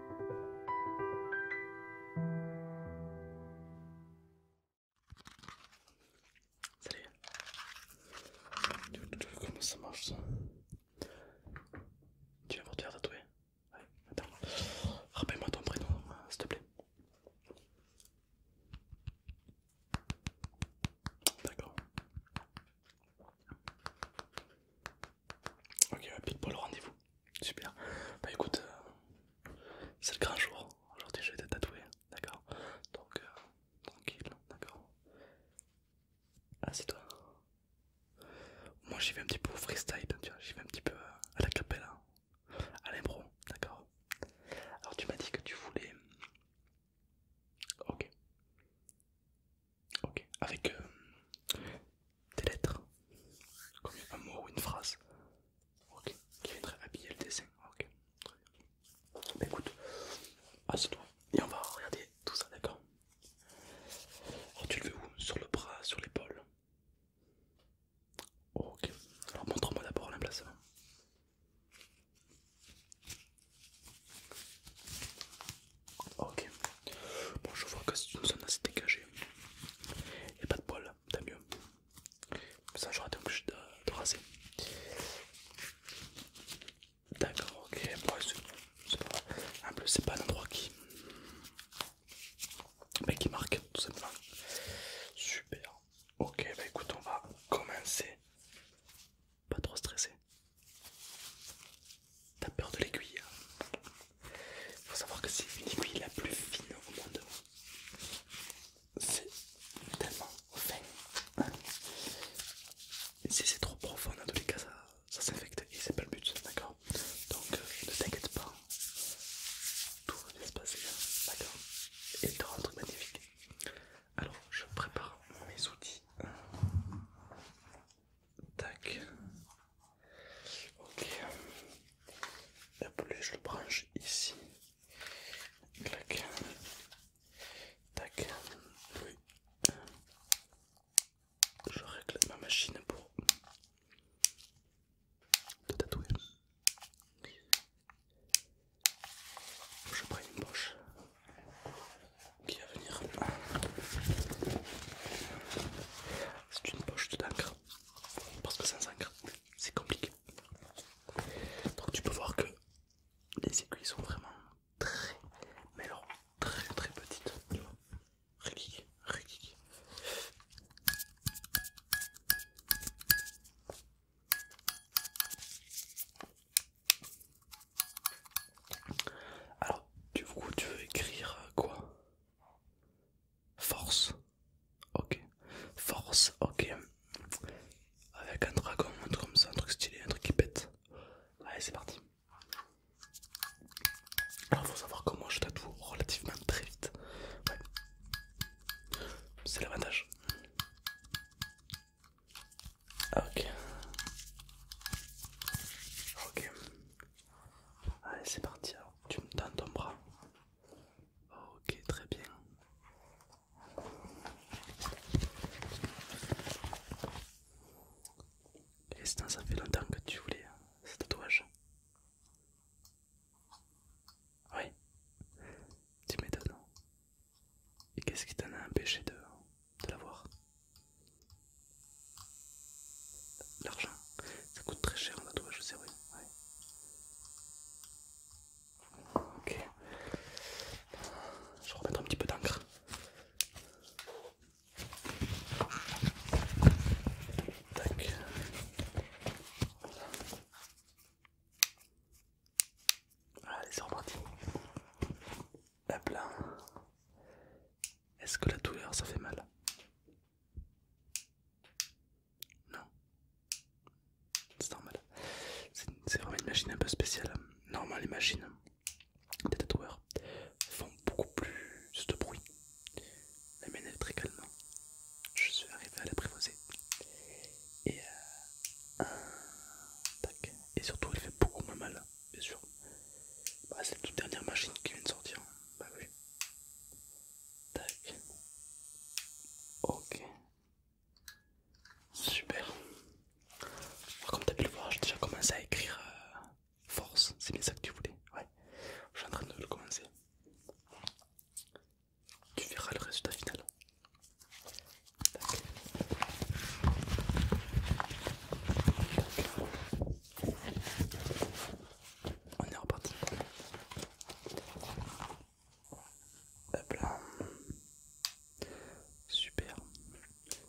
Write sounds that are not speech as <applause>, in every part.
Salut. Comment ça marche ça Tu vas pour te faire tatouer attends. Rappelle-moi ton prénom, s'il te plaît. D'accord. Ok, pile pour le rendez-vous. Super. Bah écoute, euh, c'est le grand jour. Aujourd'hui, je vais te tatouer, d'accord Donc, euh, tranquille, d'accord Ah, c'est toi Moi, j'y vais un petit peu au freestyle, tu J'y vais un petit peu euh, à la cappella. à l'impro, d'accord Alors, tu m'as dit que tu voulais. Ok. Ok, avec euh, des lettres, comme un mot ou une phrase, ok, qui viendrait habiller le dessin. Ok, bah, écoute, assieds-toi et on va regarder tout ça, d'accord Alors oh, tu le veux où Sur le bras, sur l'épaule Ok, alors montre-moi d'abord l'emplacement. Ah, ok. Bon, je vois que c'est une zone assez dégagée. Il n'y a pas de poils, tant mieux. Ça, j'aurais été obligé de, raser. D'accord, ok. Bon, c'est pas... En plus, c'est pas un endroit qui. Mais ben, qui marque, tout simplement. Super. Ok, bah écoute, on va commencer. Pas trop stressé. T'as peur de l'aiguille hein. Faut savoir que c'est une aiguille la plus fine au monde. C'est tellement fin. si c'est trop profond, en tous les cas, ça, s'infecte et c'est pas le but, d'accord Donc euh, ne t'inquiète pas, tout va se passer, hein, d'accord Et tu un truc magnifique. Alors, je prépare mes outils. Tac. Ok. La je le branche ici. Clac. Tac. Oui. Je règle ma machine pour te tatouer. Je prends une poche qui va venir. C'est une poche d'encre parce que sans encre c'est compliqué. Donc tu peux voir que les aiguilles sont vraiment très, mais alors très très petites. Tu vois, alors, du coup, tu veux écrire euh, quoi Force. Ok. Force, ok. Avec un dragon, un truc comme ça, un truc stylé, un truc qui pète. Allez, c'est parti. Alors, faut savoir que moi je tatoue relativement très vite. C'est l'avantage. Ok. Ok. Allez, c'est parti. tu me tends ton bras. Ok, très bien. Et ça fait longtemps que tu voulais hein. ce tatouage. Oui, tu m'étonnes. Et qu'est-ce qui t'en a empêché de, de l'avoir. L'argent, ça coûte très cher en tatouage, je sais oui Ok. Je vais remettre un petit peu d'encre. Tac. Voilà, allez, c'est reparti. Hop là. Est-ce que la douleur ça fait mal Non. C'est normal. C'est vraiment une machine un peu spéciale. Normalement les machines des tatoueurs font beaucoup plus de bruit. La mienne est très calme. Je suis arrivé à l'apprivoiser. Et euh, Et surtout elle fait beaucoup moins mal bien sûr. Bah, c'est la toute dernière machine qui vient de sortir. Bah oui. Tac. Ok. Super. Bah, comme tu as pu le voir, j'ai déjà commencé à écrire euh, force. C'est bien ça que tu voulais. Ouais. Je suis en train de le commencer. Tu verras le résultat final. Tac. On est reparti. Super.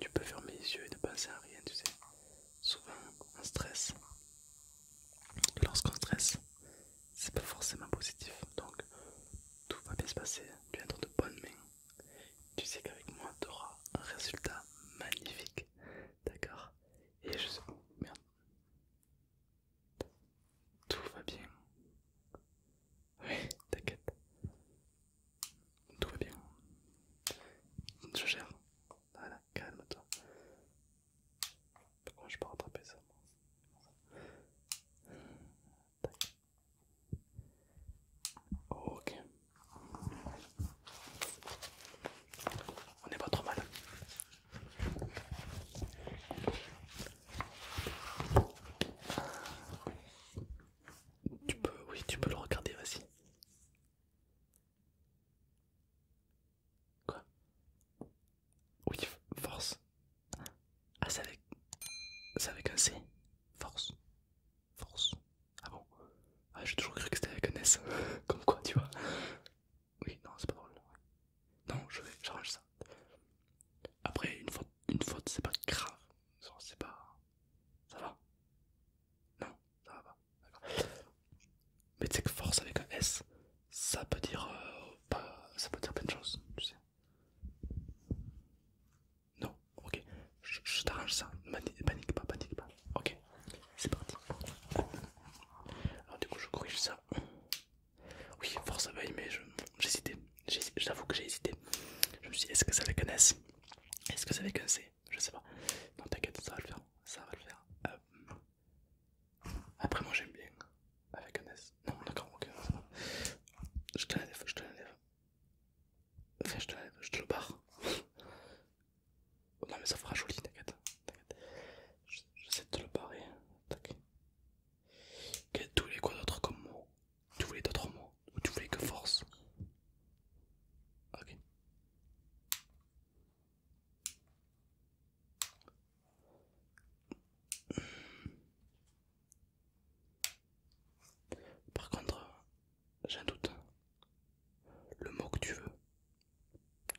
Tu peux fermer les yeux et ne penser à rien, tu sais. Souvent, on stresse. Lorsqu'on stresse, c'est pas forcément positif. Donc, tout va bien se passer. Tu es dans de bonnes mains. Tu sais qu'avec moi, tu auras un résultat magnifique. D'accord Et je sais... Merde. Tout va bien. Oui, t'inquiète. Tout va bien. Je gère. Voilà, calme-toi. Pourquoi je peux rattraper ça Ok. On n'est pas trop mal. Tu peux, oui, tu peux le regarder, vas-y. Quoi Oui, force. Ah, c'est avec... avec un C. Force. Force. Ah bon Ah, j'ai toujours cru que c'était avec un S. Comme quoi, tu vois. Oui, non, c'est pas drôle. Non, je vais, j'arrange ça. Après, une faute, une faute, c'est pas grave. C'est pas. Ça va Non, ça va pas. Mais tu sais que force avec un S, ça peut dire. Euh, ça peut dire plein de choses, tu sais. Non, ok, je, t'arrange ça, panique pas, panique pas, ok, c'est parti. Alors du coup je corrige ça. Oui, force à bailler mais j'hésitais, j'avoue que j'ai hésité. Je me suis dit, est-ce que ça avec un S Est-ce que ça avec un C Je sais pas. Non t'inquiète, ça va le faire, ça va le faire. Euh, après moi j'aime bien avec un S. Non d'accord, ok, Je te l'enlève, je te l'enlève. Enfin, je te, le barre. <laughs> Oh non, mais ça fera joli, t'inquiète. J'essaie de te le barrer. t'inquiète tu voulais quoi d'autre comme mot Tu voulais d'autres mots Ou tu voulais que force Ok. Par contre, j'ai un doute. Le mot que tu veux.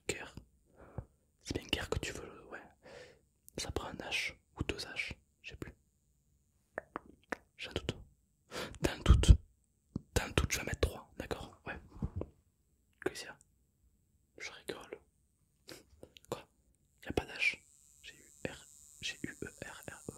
Guerre. C'est bien guerre que tu veux, ouais. Ça prend un H ou deux H, je sais plus. J'ai un doute. T'as un doute. T'as un doute, je vais mettre trois, d'accord Ouais. que ce Je rigole. Quoi Y'a pas d'H. J'ai eu R. J'ai eu E R R E.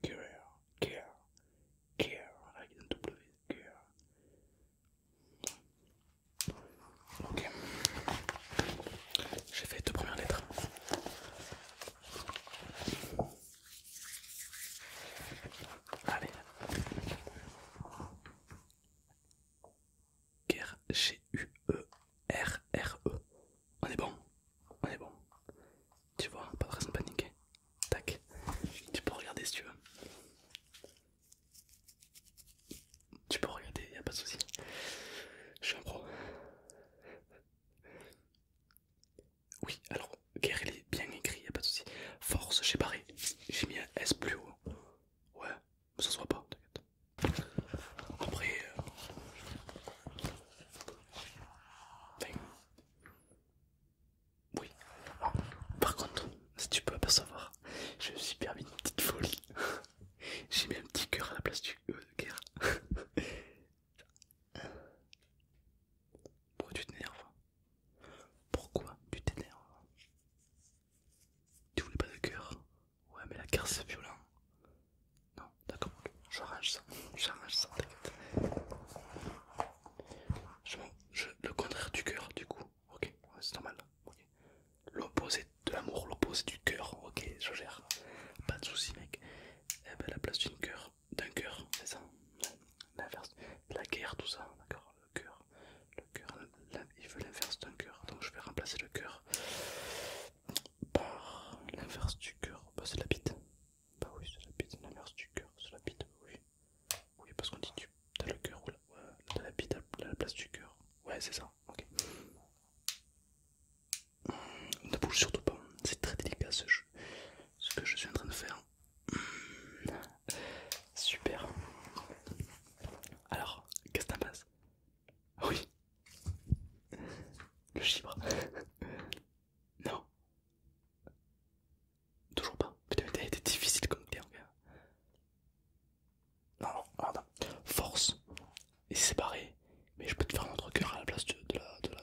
Care, care, care, avec Ok, j'ai fait deux premières lettres. Allez. g e e -R -R -E. On est bon, on est bon. Tu vois, pas de raison de paniquer. Tac. Tu peux regarder si tu veux. Tu peux regarder, y a pas de soucis Je suis un pro. Oui, alors, guerre il est bien écrit, y a pas de soucis Force, j'ai barré. J'ai mis un S plus haut. Ouais, ça se voit pas, t'inquiète. Après, euh, oui. par contre, si tu peux pas savoir, je me suis permis une petite folie. <laughs> J'ai mis un petit cœur à la place du E euh, guerre. <laughs> Pourquoi tu t'énerves Pourquoi tu t'énerves Tu voulais pas de cœur Ouais mais la carte c'est violent. Non, d'accord, j'arrange ça, ça, le contraire du cœur, du coup, ok, c'est normal. L'opposé de l'amour, l'opposé du cœur, ok, je gère. Pas de soucis, mec. Eh ben, la place d'un cœur, d'un cœur, c'est ça. L'inverse, la guerre, tout ça, d'accord, le cœur. Le cœur, il veut l'inverse d'un cœur, donc je vais remplacer le cœur par l'inverse du cœur, bah, c'est la bite. Bah oui, c'est la bite, la merde du cœur, c'est la bite, oui. Oui, parce qu'on dit tu as le cœur ou la, ouais, la bite à la place du cœur. Ouais, c'est ça, ok. ne bouge surtout pas, c'est très délicat ce jeu, ce que je suis en train de faire. super. Alors, qu'est-ce que t'en penses ah Oui. Le chibre. Non. Toujours pas. Putain, été difficile comme t'es, gars. Non, non, Force. Et séparé. Mais je peux te faire un autre cœur à la place de, la, de la.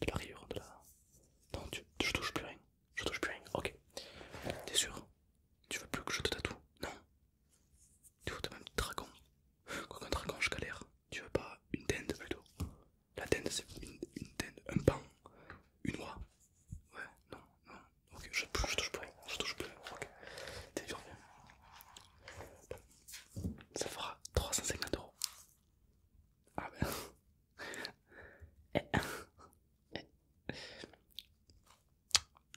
de la rayure, de la. Non, tu, je touche plus rien. Je touche plus rien. Ok. T'es sûr Tu veux plus que je te tatoue Non. Tu veux même dragon Quoi qu'un dragon, je galère. Tu veux pas une tente plutôt La tente c'est une, tente, un pan, une oie. Ouais, non, non, ok, je, touche plus, je touche plus, ok. T'es dur, bien. Ça fera 350 euros. Ah ben. Je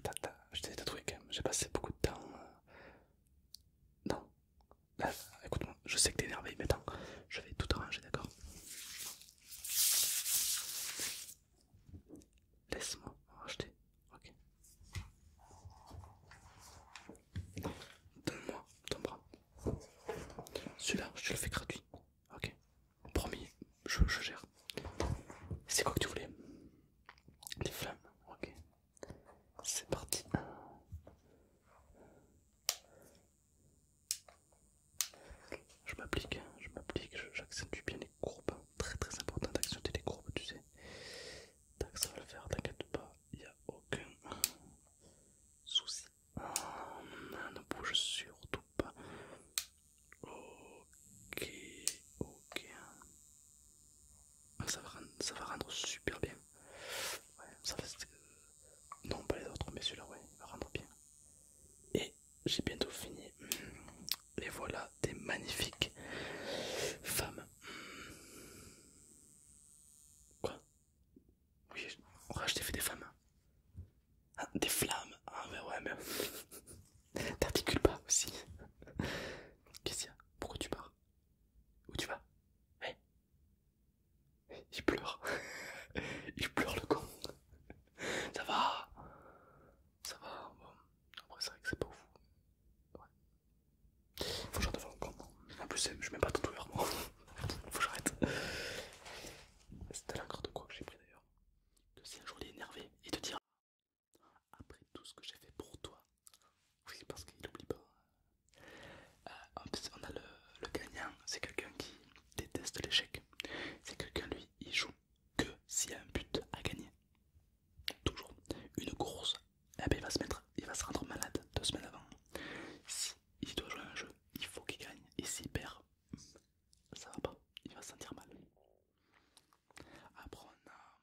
Tata, je t'ai tatoué quand même, j'ai passé beaucoup de temps. Euh, non, bah, écoute-moi, je sais que t'es énervé, mais attends, je vais tout arranger, d'accord Laisse-moi racheter, ok Donne-moi ton bras. Celui-là, je te le fais gratuit, ok Promis, je, je gère. C'est quoi que tu voulais Des flammes, ok c'est parti. Je m'applique, je m'applique, j'accentue bien les courbes. Très très important d'accentuer les courbes, tu sais. Tac, ça va le faire, t'inquiète pas, il n'y a aucun souci. On ah, ne bouge surtout pas. Ok, ok. Ah, ça va rendre, super bien. Ouais, ça va, euh, non, pas les autres, mais celui-là, ouais, il va rendre bien. Et j'ai bientôt fini. Hmm, les voilà des magnifiques femmes. Hmm. Quoi Oui, on fait des femmes. Hein. Ah, des flammes ah, mais ouais, mais. <laughs> T'articules pas aussi. <laughs> Qu'est-ce qu'il y a Pourquoi tu pars où tu vas eh Il pleure. <laughs> Il pleure le con. Ça va Ça va, bon. Après, c'est vrai que c'est pas fou. Ouais. Faut que faire le con. En plus, je mets pas de douleur, moi. <laughs> Faut que j'arrête. C'était l'accord de quoi que j'ai pris d'ailleurs. De si un jour il est énervé, et te dire Après tout ce que j'ai fait pour toi, oui, parce qu'il n'oublie pas. Euh, on a le, gagnant, c'est quelqu'un qui déteste l'échec. C'est quelqu'un, lui, il joue que s'il y a un but à gagner. Toujours. Une course, eh ben, il, va se mettre, il va se rendre malade deux semaines avant. s'il doit jouer un jeu, il faut qu'il gagne. Et s'il perd, ça va pas, il va se sentir mal. Après, on a...